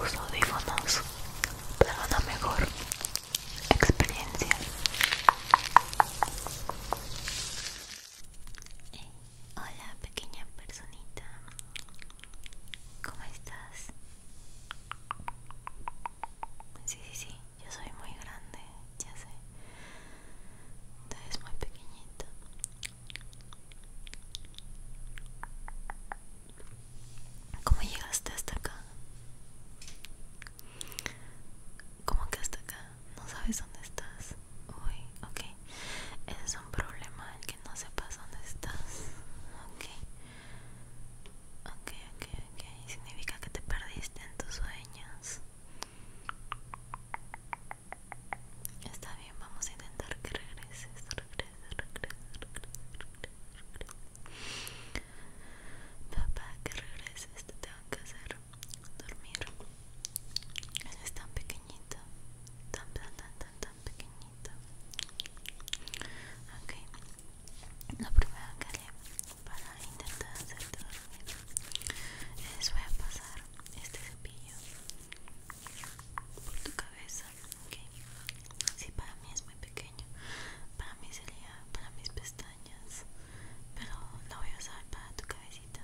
Uso audífonos para una mejor experiencia. Eh, hola pequeña personita, ¿cómo estás? Sí, sí, sí, yo soy muy grande, ya sé. Tú eres muy pequeñita. ¿Cómo llegaste hasta acá? ¿Cómo que hasta acá? ¿No sabes dónde estás? Uy, ok. Ese es un problema, el que no sepas dónde estás. Ok. Ok, ok, ok. Significa que te perdiste en tus sueños. Está bien, vamos a intentar que regreses, regresa, regresa, Papá, que regreses, te tengo que hacer dormir. es tan pequeñito, tan, tan, tan, tan, pequeñito. lo primero que haré para intentar hacerte dormir es voy a pasar este cepillo por tu cabeza, ok. Sí, para mí es muy pequeño. Para mí sería para mis pestañas, pero lo voy a usar para tu cabecita.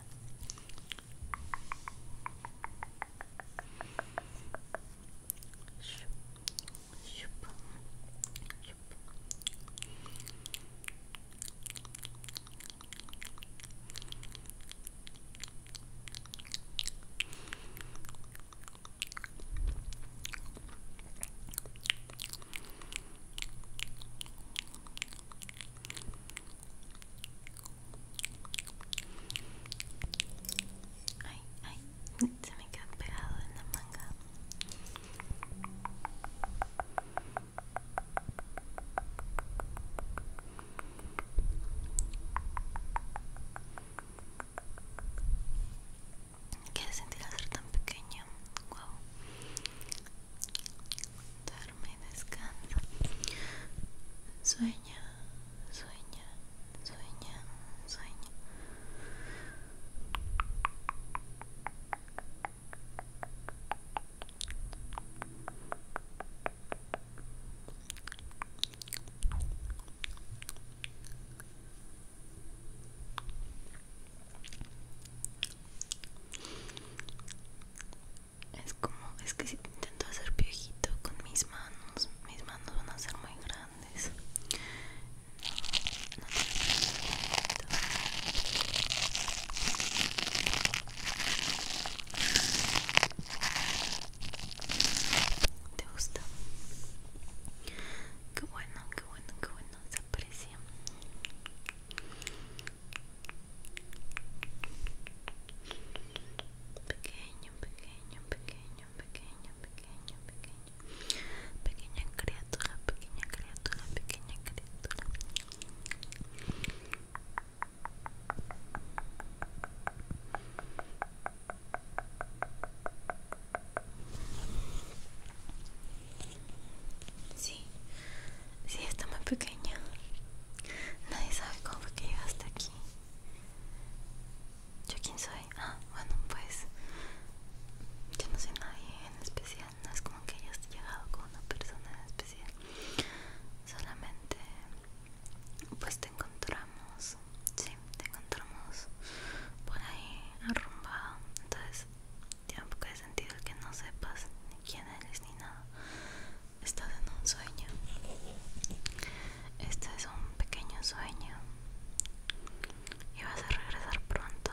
Ay, ay, se me quedó pegado en la manga. ¿Quieres sentir al ser tan pequeño? Guau Duerme y descansa. Sueña, sueña, sueña, sueña. Es como, es que si intento hacer viejito con mis manos, mis manos van a ser muy grandes. ¿Te gusta? Qué bueno, qué bueno, qué bueno, se aprecia. Pequeño, pequeño, pequeño, pequeño, pequeño, pequeño. Pequeña criatura, pequeña criatura, pequeña criatura. Sí, sí, está muy pequeña. Nadie sabe cómo fue que llegaste aquí. ¿Yo quién soy? Ah, bueno, pues yo no soy nadie en especial no es como que hayas llegado con una persona especial, solamente pues te encontramos, sí, te encontramos por ahí arrumbado, entonces tiene un poco de sentido el que no sepas ni quién eres ni nada, estás en un sueño, este es un pequeño sueño y vas a regresar pronto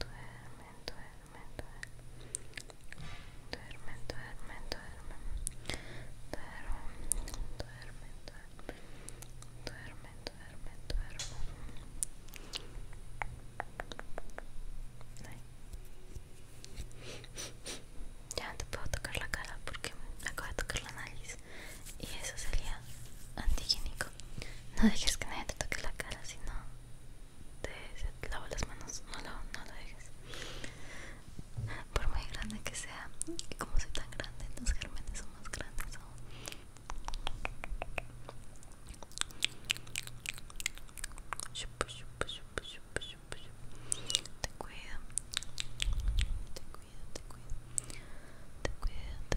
duerme, duerme, duerme, duerme, duerme, duerme, duerme, duerme, duerme, duerme, duerme. Ya no te puedo tocar la cara porque me acabo de tocar la nariz y eso sería antihigiénico. No dejes que nadie te toque la cara, si no te, lavo las manos, no lo, no dejes. Por muy grande que sea, y como soy tan grande, los germenes son más grandes aún. Te cuido te cuido, te cuido te cuido, te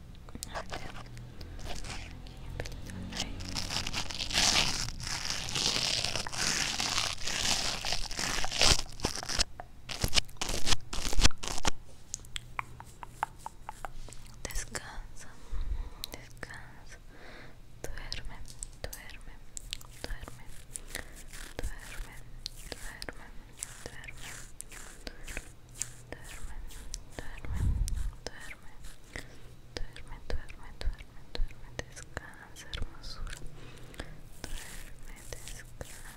Descansa, descansa, duerme, duerme, duerme, duerme, duerme, duerme, duerme, duerme, duerme, duerme, duerme, duerme, duerme, duerme, duerme, descansa, hermosura, duerme, descansa.